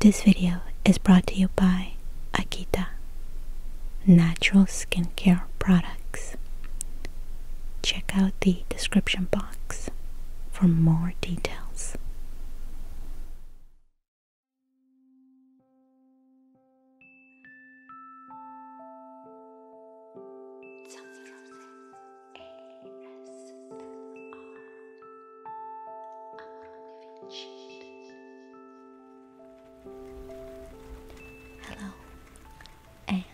This video is brought to you by Akita Natural Skincare Products. Check out the description box for more details. Hello, and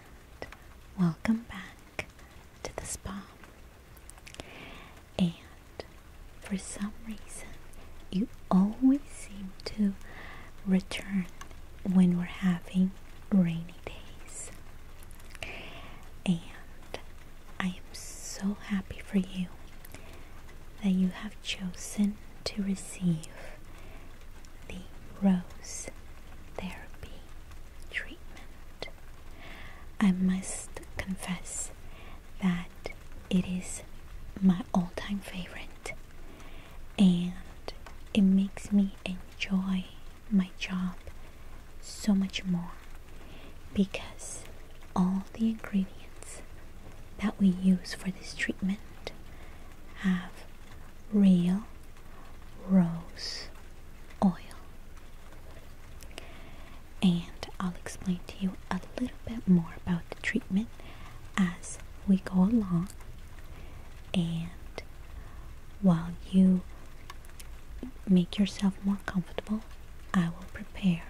welcome back to the spa. And for some reason, you always seem to return when we're having rainy days. And I am so happy for you that you have chosen to receive the Rose Therapy treatment. I must confess that it is my all time favorite and it makes me enjoy my job so much more because all the ingredients that we use for this treatment have real rose oil. And I'll explain to you a little bit more about the treatment as we go along and while you make yourself more comfortable i will prepare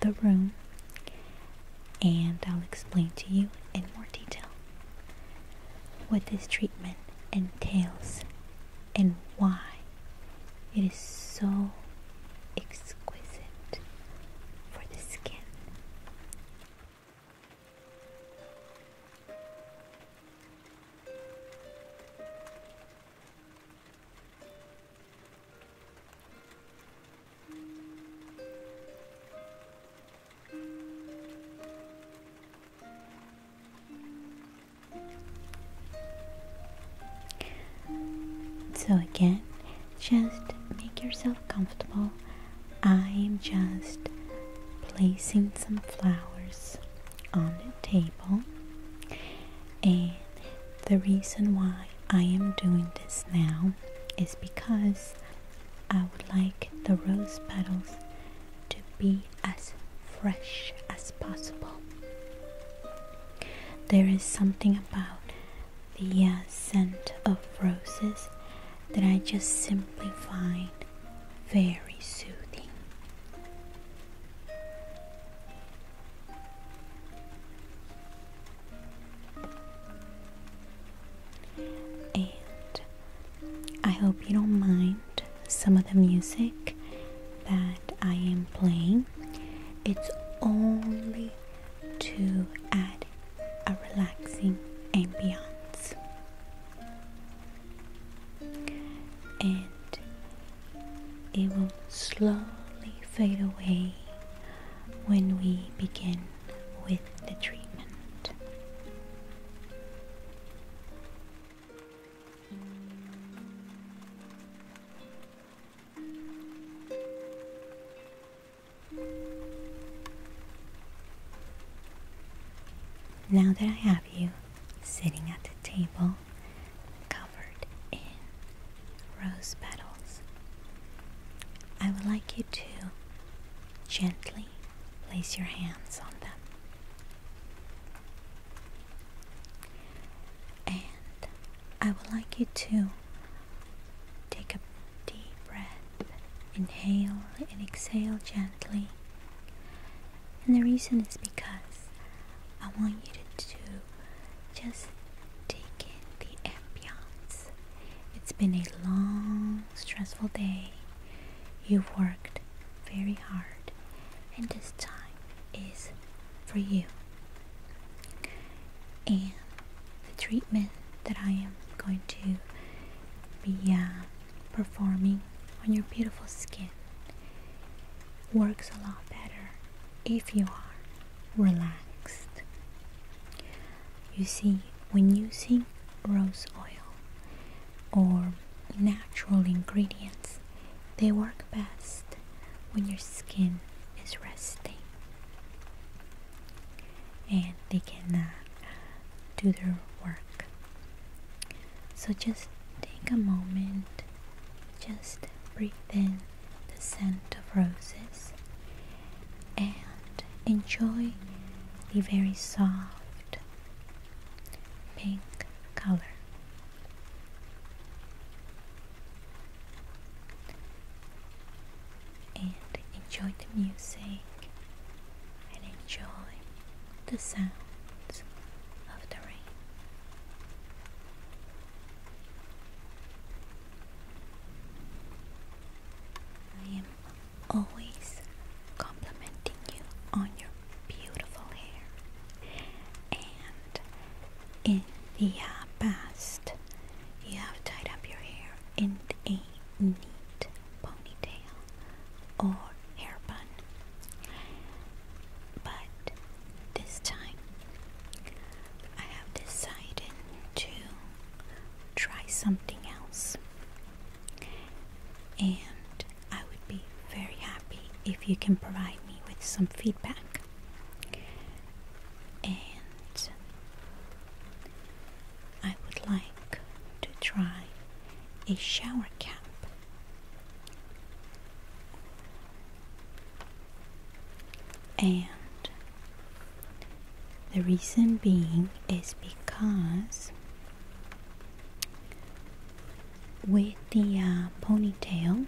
the room and i'll explain to you in more detail what this treatment entails and why it is so exquisite for the skin so again, just make yourself comfortable. I am just placing some flowers on the table and the reason why I am doing this now is because I would like the rose petals to be as fresh as possible. There is something about the uh, scent of roses that I just simply find very soothing. And I hope you don't mind some of the music that I am playing. It's only to add a relaxing ambiance and it will slowly fade away when we begin with the treatment. Now that I have you, sitting at the table covered in rose petals. I would like you to gently place your hands on them. And I would like you to take a deep breath, inhale and exhale gently, and the reason is because I want you to, just take in the ambience. It's been a long, stressful day. You've worked very hard, and this time is for you. And the treatment that I am going to be uh, performing on your beautiful skin works a lot better if you are relaxed. You see, when using rose oil or natural ingredients, they work best when your skin is resting and they can do their work. So just take a moment, just breathe in the scent of roses and enjoy the very soft pink color. And enjoy the music and enjoy the sounds of the rain. I am always complimenting you on your beautiful hair. And in the uh, past, you have tied up your hair in a neat ponytail or hair bun. But this time I have decided to try something else. And I would be very happy if you can provide me with some feedback. And I would like to try a shower cap and the reason being is because with the uh, ponytail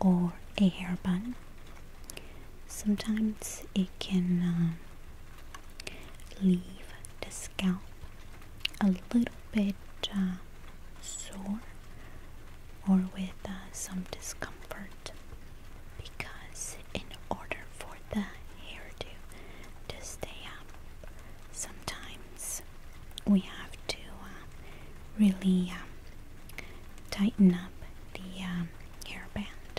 or a hair bun, sometimes it can um, leave the scalp a little bit uh, sore or with uh, some discomfort because in order for the hairdo to stay up sometimes we have to uh, really um, tighten up the um, hairband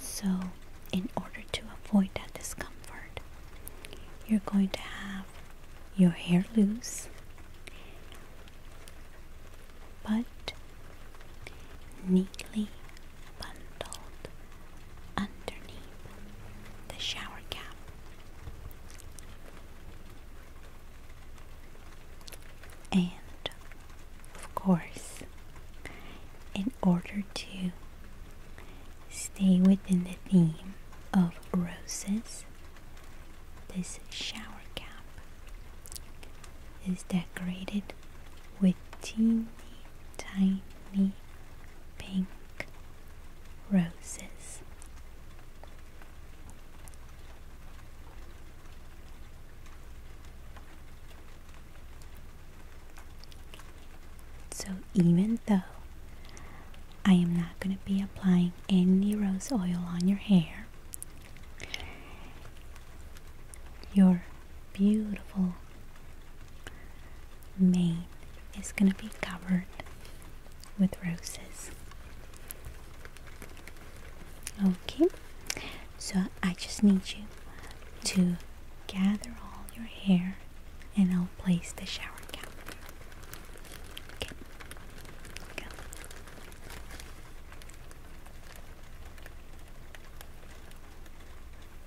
so in order to avoid that discomfort you're going to have your hair loose, but neatly bundled underneath the shower cap. And of course, in order to stay within the theme of roses, this shower cap is decorated with teeny tiny pink roses. So even though I am not going to be applying any rose oil on your hair, your beautiful mane is going to be covered with roses. Okay, so I just need you to gather all your hair and I'll place the shower cap.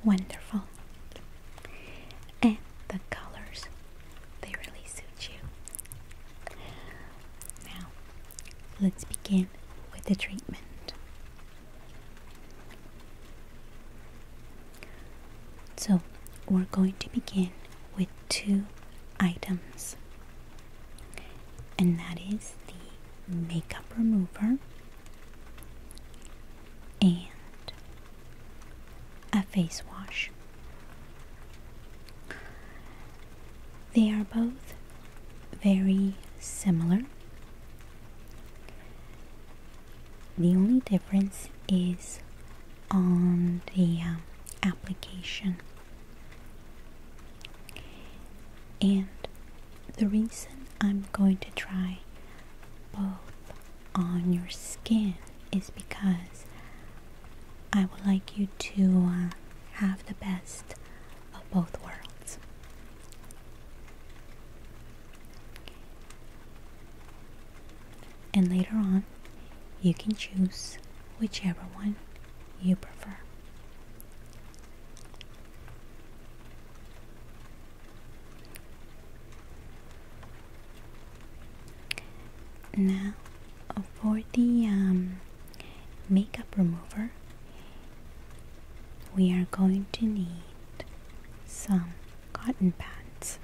Wonderful. And the colors, they really suit you. Now, let's begin with the treatment. So we're going to begin with two items, and that is the makeup remover and a face wash. They are both very similar. The only difference is on the um, application. And the reason I'm going to try both on your skin is because I would like you to uh, have the best of both worlds and later on you can choose whichever one you prefer. Now for the um, makeup remover we are going to need some cotton pads.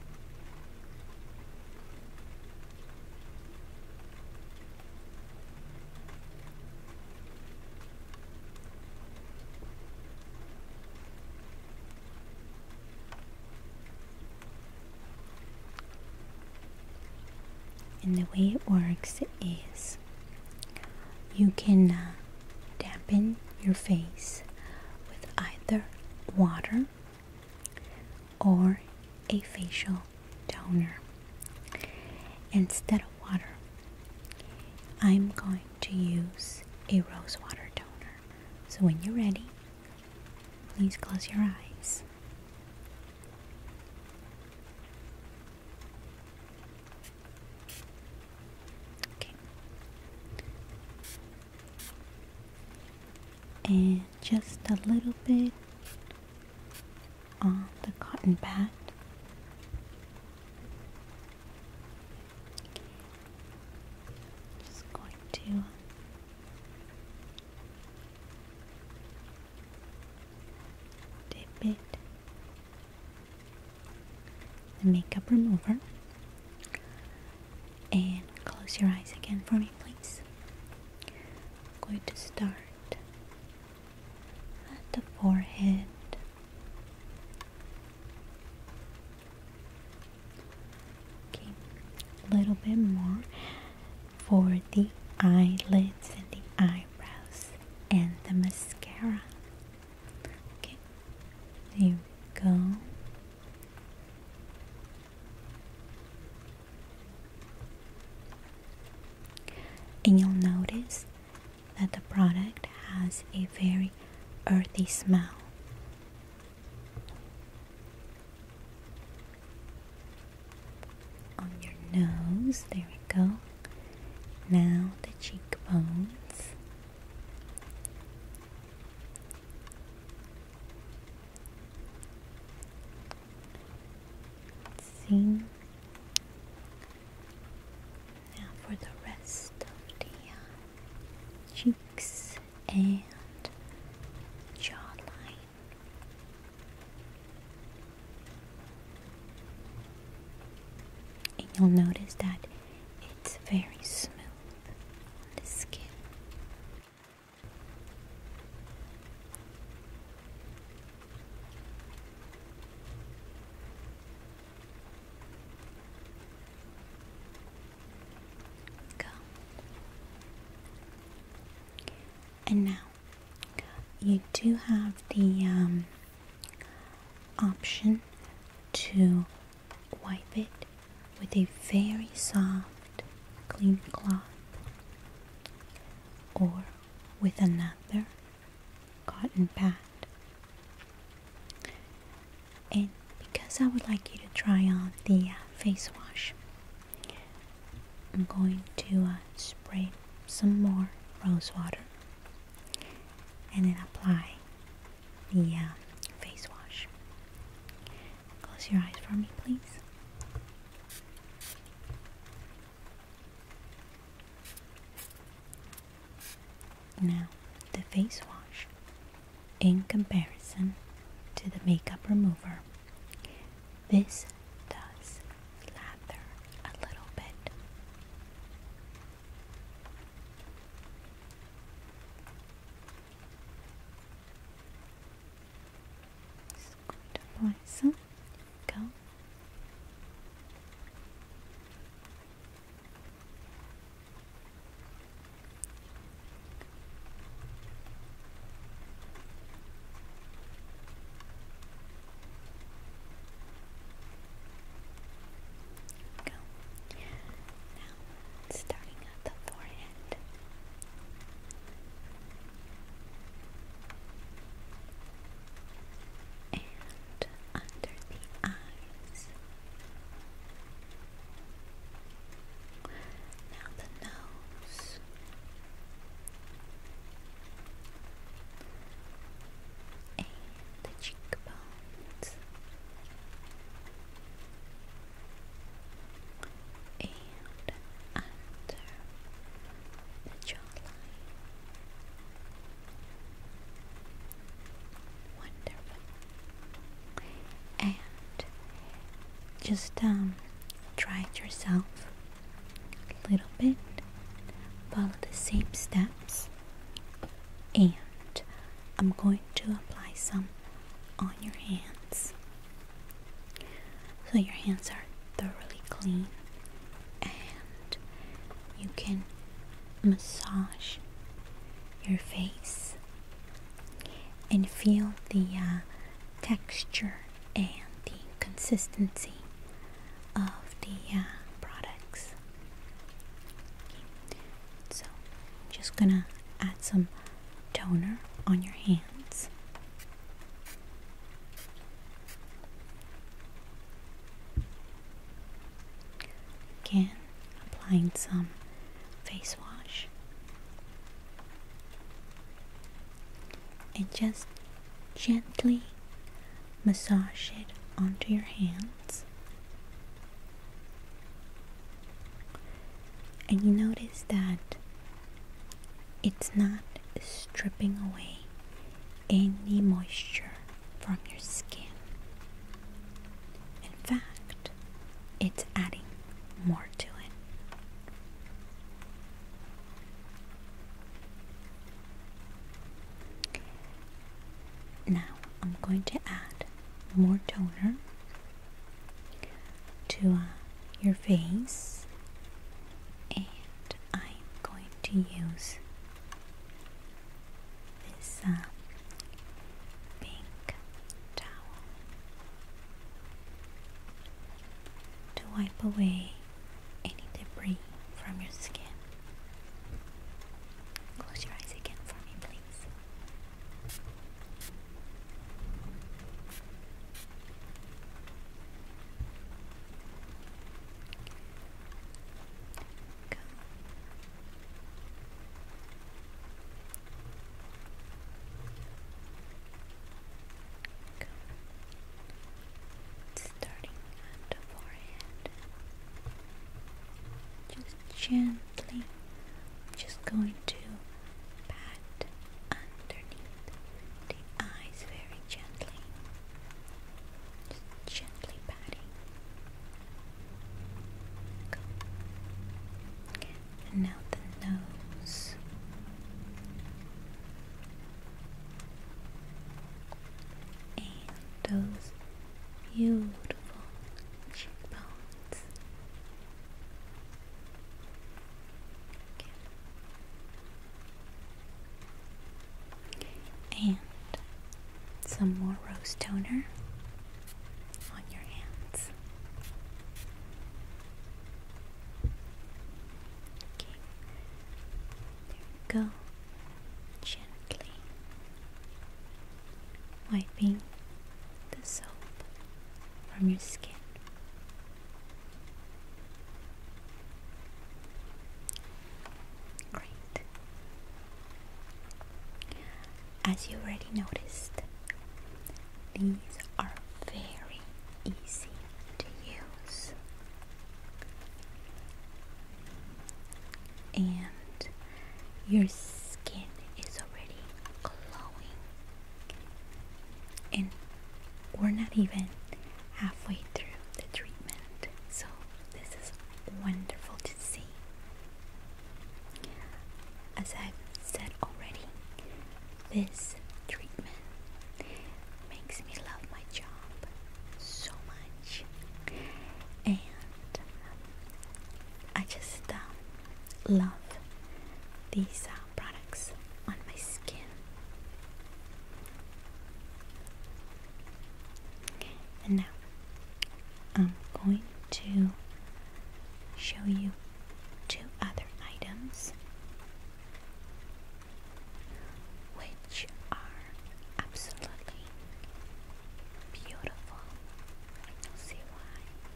And the way it works is you can uh, dampen your face with either water or a facial toner. Instead of water, I'm going to use a rose water toner. So when you're ready, please close your eyes. Okay and just a little bit on the cotton pad. Just going to dip it makeup remover and close your eyes again for me, please. I'm going to start at the forehead. Okay, a little bit more for the eyelids and the eyebrows and the mascara. There we go. And you'll notice that the product has a very earthy smell. On your nose, there we go. Now the cheekbones. Now for the rest of the uh, cheeks and jawline. And you'll notice that it's very smooth. Go. And now you do have the um, option to Wipe it with a very soft, clean cloth or with another cotton pad. And because I would like you to try on the uh, face wash, I'm going to uh, spray some more rose water and then apply yeah, uh, face wash. Close your eyes for me, please. Now, the face wash, in comparison to the makeup remover, this does slather a little bit. Just going to apply some. Go. Go starting at the forehead. And under the eyes. Now the nose. And the cheekbones and under the jawline. Wonderful. And just um, try it yourself a little bit. Follow the same steps, and I'm going to apply some on your hands so your hands are thoroughly clean and you can massage your face and feel the uh, texture and the consistency of the uh, products. So, I'm just gonna add some toner on your hands. Again, applying some face wash and just gently massage it onto your hands. And you notice that it's not stripping away any moisture from your skin. In fact, it's adding more to it. Now I'm going to add more toner to uh, your face and I'm going to use this uh, pink towel to wipe away any debris from your skin. Close your eyes again for me, please. Go. Go. Starting at the forehead, gently. just going to pat underneath the eyes very gently. Just gently patting. Go. And now the nose. And those beautiful cheekbones. And some more rose toner on your hands. Okay. There we go. Gently wiping the soap from your skin. Great. As you already noticed, these are very easy to use. And your skin is already glowing. And we're not even halfway through the treatment, so this is wonderful to see. As i said already, this treatment makes me love my job so much, and I just um, love these uh, products on my skin. And now I'm going to show you two other items which are absolutely beautiful. I do see why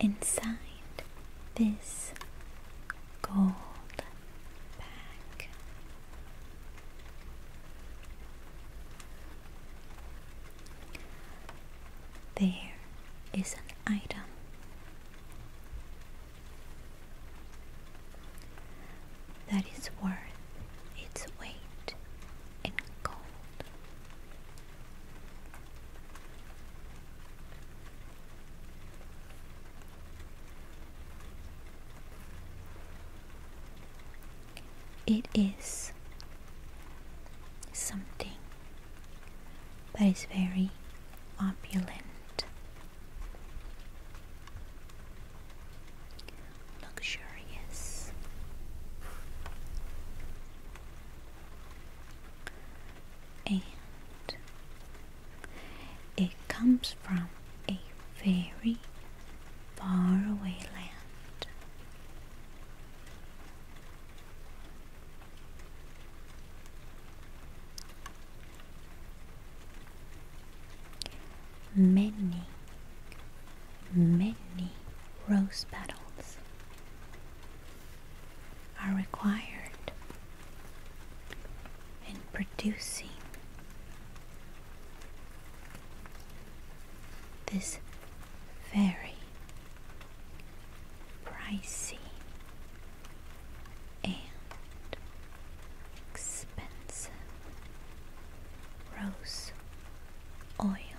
inside this gold bag. There is an item. That is worth its weight in gold. It is something that is very opulent luxurious. And it comes from a very far away land. Many many rose petals are required in producing this very pricey and expensive rose oil.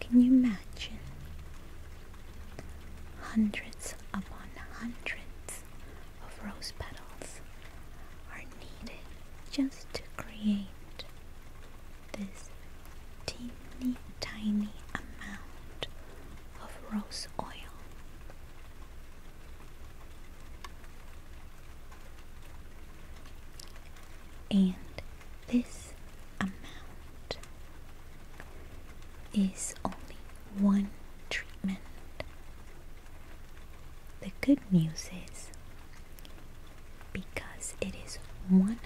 Can you imagine? Hundreds upon hundreds of rose petals are needed just to create this tiny, tiny amount of rose oil. And this amount is only one treatment. The good news is because it is 100%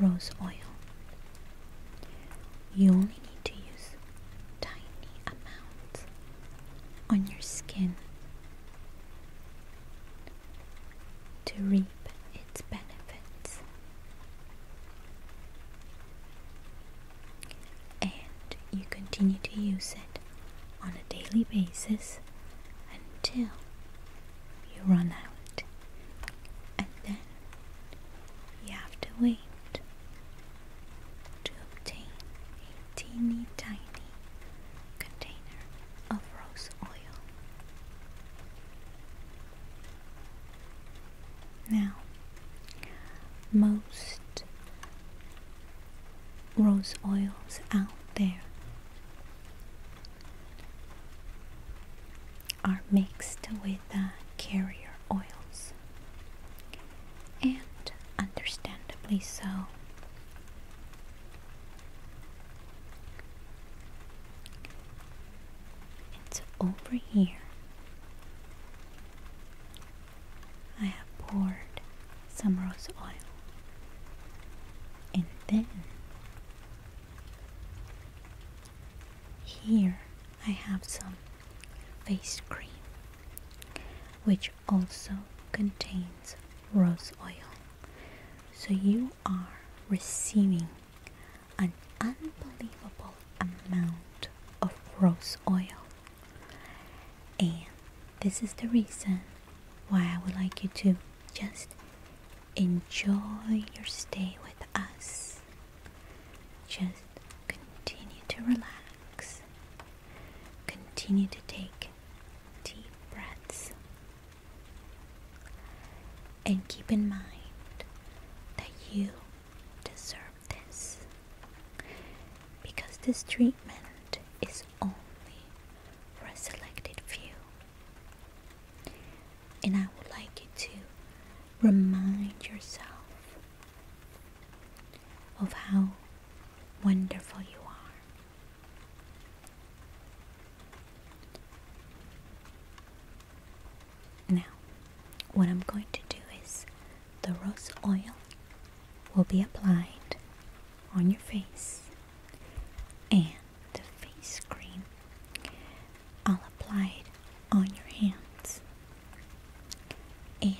rose oil, you only need to use tiny amounts on your skin to reap its benefits. And you continue to use it on a daily basis until you run out. And then you have to wait to obtain a teeny tiny container of rose oil. Now, most rose oils out there are mixed with uh, carrier oils, and understandably so, and over here, I have poured some rose oil. And then here I have some face cream, which also contains rose oil. So you are receiving an unbelievable amount of rose oil. And this is the reason why I would like you to just enjoy your stay with us. Just continue to relax Continue to take deep breaths. And keep in mind that you deserve this because this treatment is only for a selected few. And I would like you to remind yourself of how wonderful you are. Now, what I'm going to do is the rose oil will be applied on your face and the face cream I'll apply it on your hands and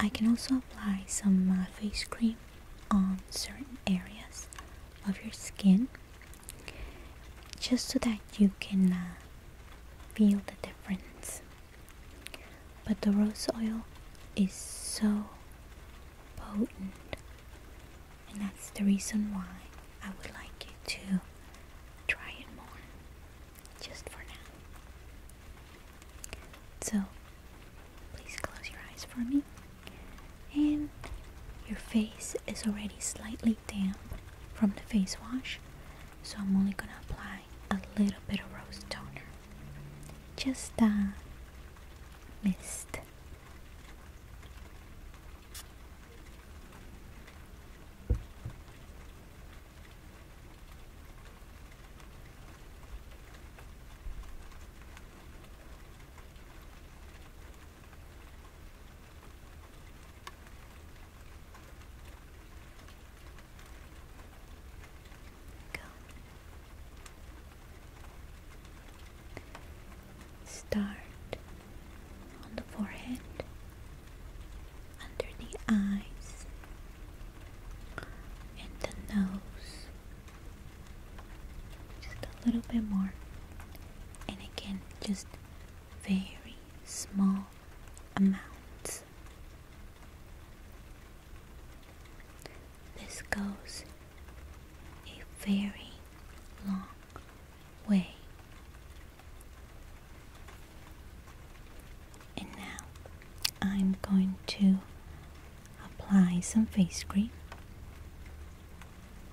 I can also apply some uh, face cream on certain areas of your skin just so that you can uh, feel the difference. But the rose oil is so potent, and that's the reason why I would like you to try it more just for now. So, please close your eyes for me. And your face is already slightly damp from the face wash, so I'm only gonna apply a little bit of rose toner. Just a mist. Go. Start on the forehead, under the eyes, and the nose just a little bit more and again just very small amounts this goes a very long way and now I'm going to apply some face cream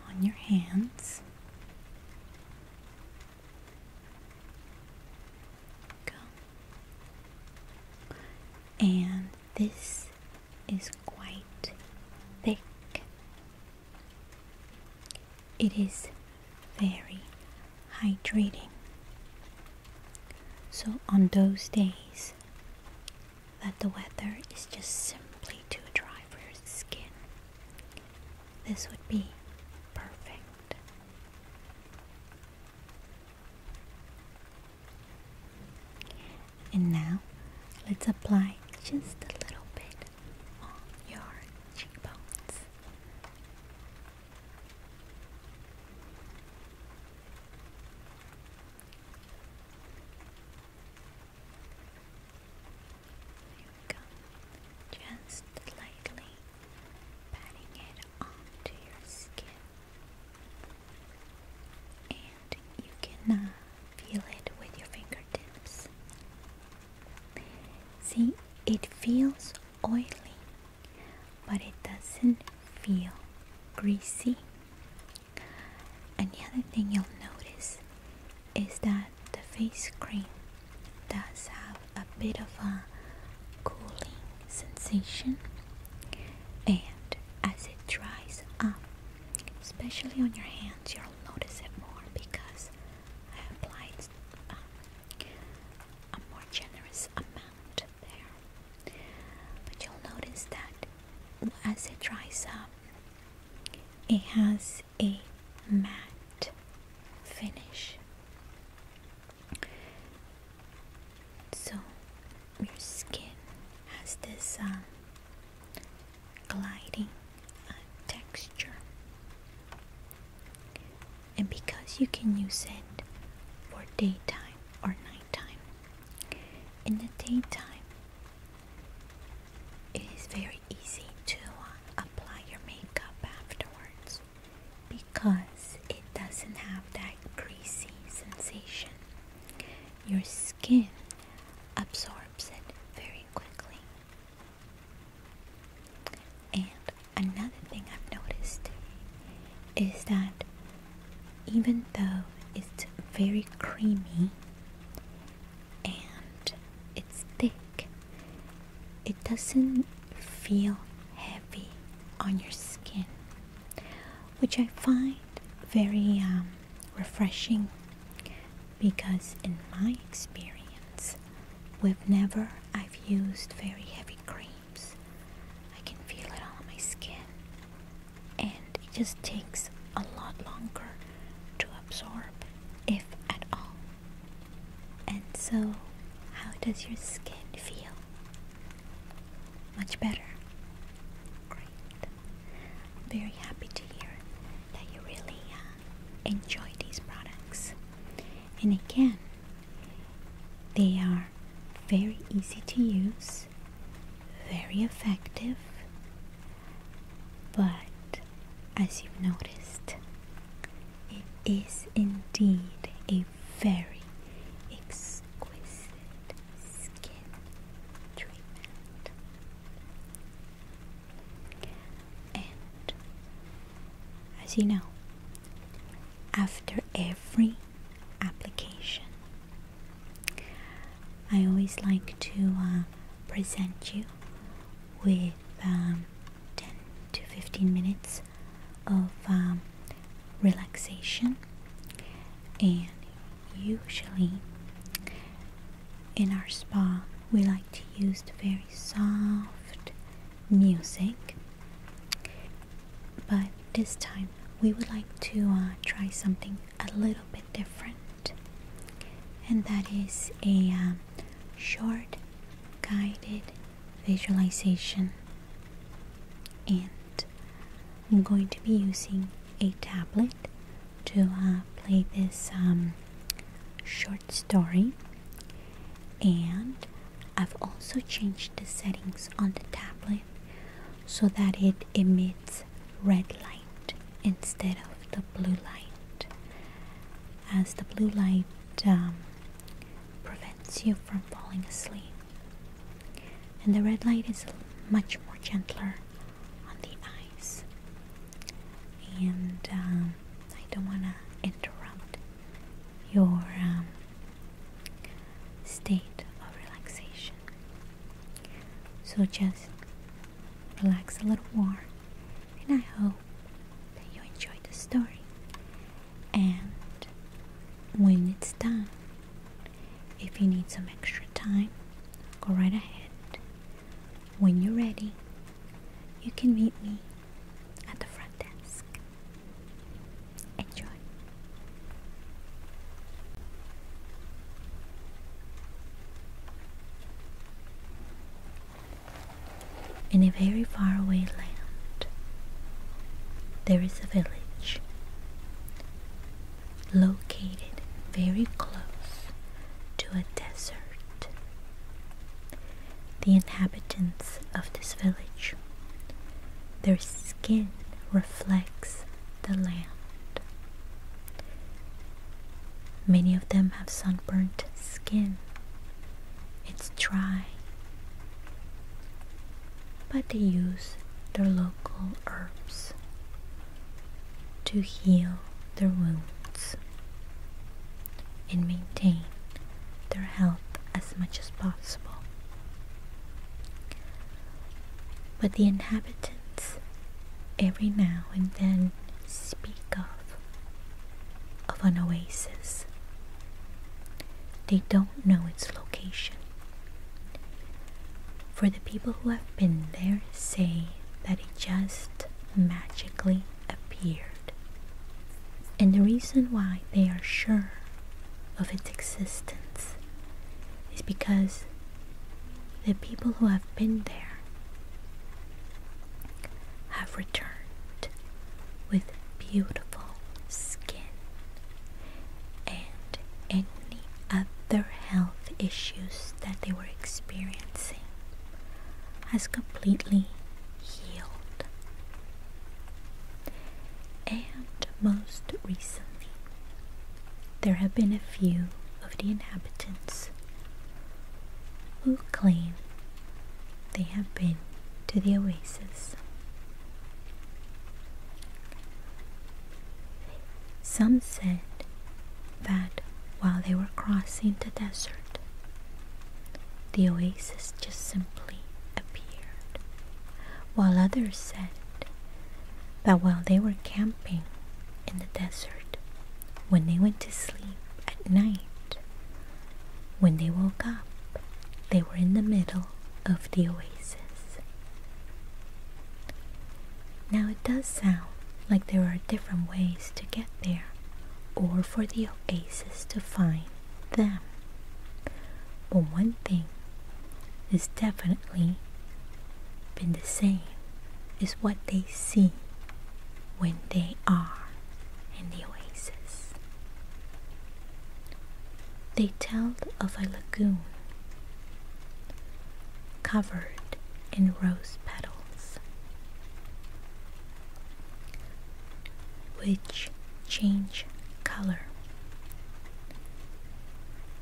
on your hands. Go. And this is quite thick. It is very hydrating. So on those days that the weather is just simply too dry for your skin. This would be perfect. And now let's apply just a little bit on your cheekbones. Just lightly patting it onto your skin. And you can uh, feel it with your fingertips. See, it feels oily but it doesn't feel greasy. And the other thing you'll notice is that the face cream does have a bit of a cooling sensation, and as it dries up, especially on your hands, you'll notice it more because I applied um, a more generous amount there. But you'll notice that as it dries up, it has a matte finish. So your skin has this um, gliding uh, texture, and because you can use it for daytime or nighttime, in the daytime, it is very easy to uh, apply your makeup afterwards because it doesn't have that greasy sensation. Your skin absorbs it very quickly. And another thing I've noticed is that even though it's very creamy and it's thick, it doesn't feel heavy on your skin, which I find very um, refreshing because, in my experience, with never I've used very heavy cream I can feel it on my skin. And it just takes a lot longer to absorb, if at all. And so, how does your skin feel? Much better. Great. I'm very happy to hear that you really uh, enjoy these products. And again, they are very easy to use, very effective, but as you've noticed, it is indeed a very exquisite skin treatment. And as you know, after every application. I always like to uh, present you with um, 10 to 15 minutes of um, relaxation, and usually in our spa, we like to use the very soft music, but this time we would like to uh, try something a little bit different, and that is a um, short guided visualization. And I'm going to be using a tablet to uh, play this um, short story, and I've also changed the settings on the tablet so that it emits red light instead of the blue light as the blue light um, prevents you from falling asleep and the red light is much more gentler on the eyes and um, I don't want to interrupt your um, state of relaxation. So just relax a little more, and I hope that you enjoy the story. And when it's done, if you need some extra time, go right ahead. When you're ready, you can meet me at the front desk. Enjoy. In a very faraway land, there is a village located very close to a desert. The inhabitants of this village their skin reflects the land. Many of them have sunburnt skin. It's dry. But they use their local herbs to heal their wounds and maintain their health as much as possible but the inhabitants every now and then speak of of an oasis. They don't know its location. For the people who have been there say that it just magically appeared. And the reason why they are sure of its existence is because the people who have been there have returned with beautiful skin and any other health issues that they were experiencing has completely healed and most recently, there have been a few of the inhabitants who claim they have been to the oasis. Some said that while they were crossing the desert, the oasis just simply appeared, while others said but while they were camping in the desert, when they went to sleep at night, when they woke up, they were in the middle of the oasis. Now it does sound like there are different ways to get there or for the oasis to find them. But one thing has definitely been the same as what they see when they are in the oasis. They tell of a lagoon covered in rose petals, which change, color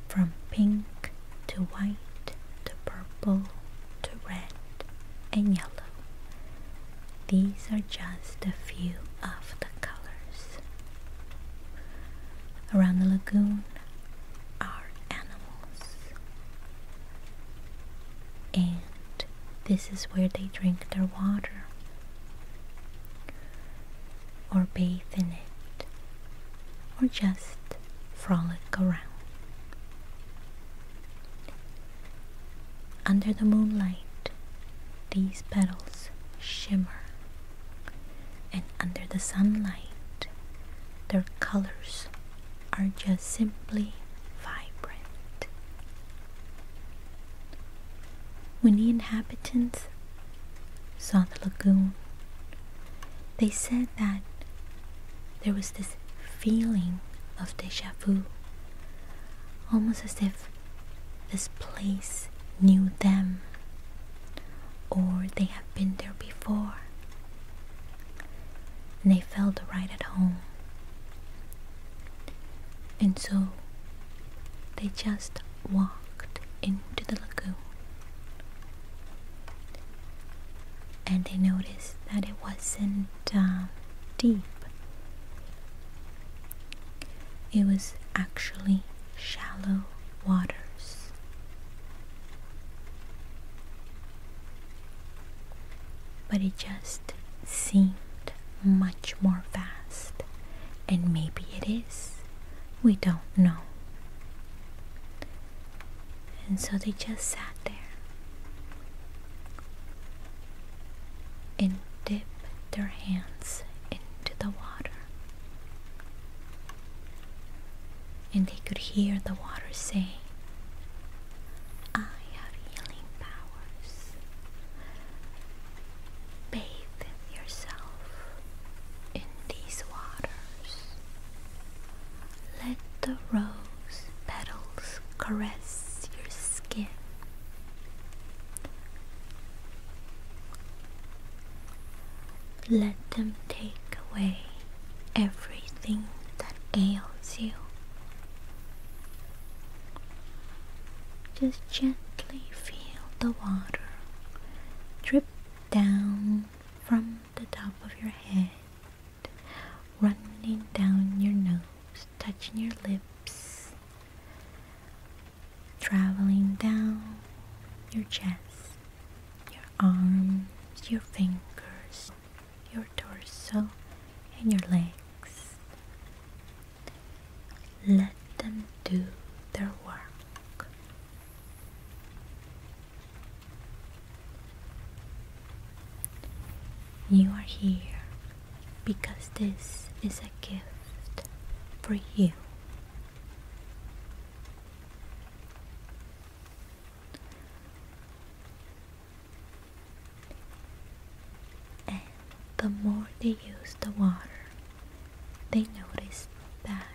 from pink to white to purple to red and yellow. These are just a few of the colors. Around the lagoon are animals. And this is where they drink their water or bathe in it, or just frolic around. Under the moonlight, these petals shimmer, and under the sunlight, their colors are just simply vibrant. When the inhabitants saw the lagoon, they said that there was this feeling of deja vu, almost as if this place knew them or they had been there before. And they felt right at home. And so they just walked into the lagoon. And they noticed that it wasn't um, deep, it was actually shallow waters. But it just seemed much more vast, and maybe it is. We don't know. And so they just sat there and dipped their hands into the water. And they could hear the water say, I have healing powers. Bathe yourself in these waters. Let the rose petals caress your skin. Let them take away everything that ails you. Just gently feel the water drip down from the top of your head, running down your nose, touching your lips, traveling down your chest, your arms, your fingers, your torso, and your legs. Let them do their work. You are here because this is a gift for you. And the more they use the water, they noticed that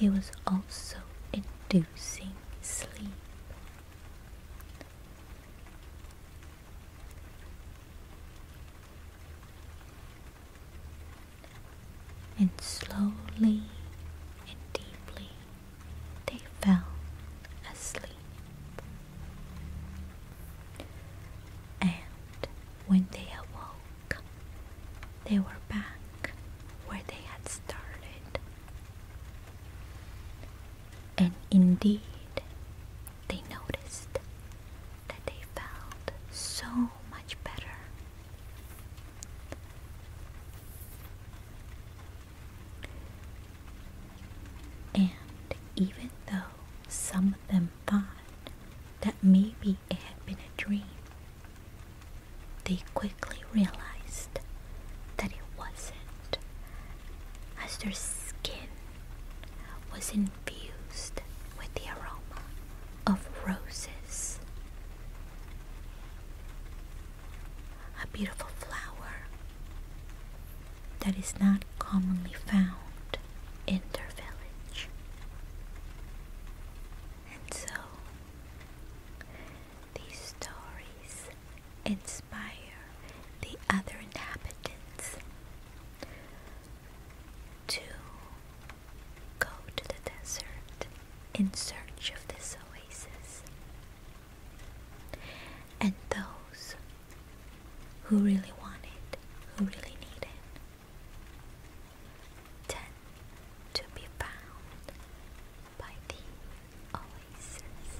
it was also inducing sleep. And slowly and deeply they fell asleep. And when they awoke, they were back where they had started. And indeed, they noticed that they felt so much better. And even though some of them thought that maybe it had been a dream. They quickly realized that it wasn't, as their skin was infused with the aroma of roses. A beautiful flower that is not commonly found found in their village. And so, these stories inspire the other inhabitants to go to the desert in search of this oasis. And those who really want it, who really need it, Ten to be found by the oasis.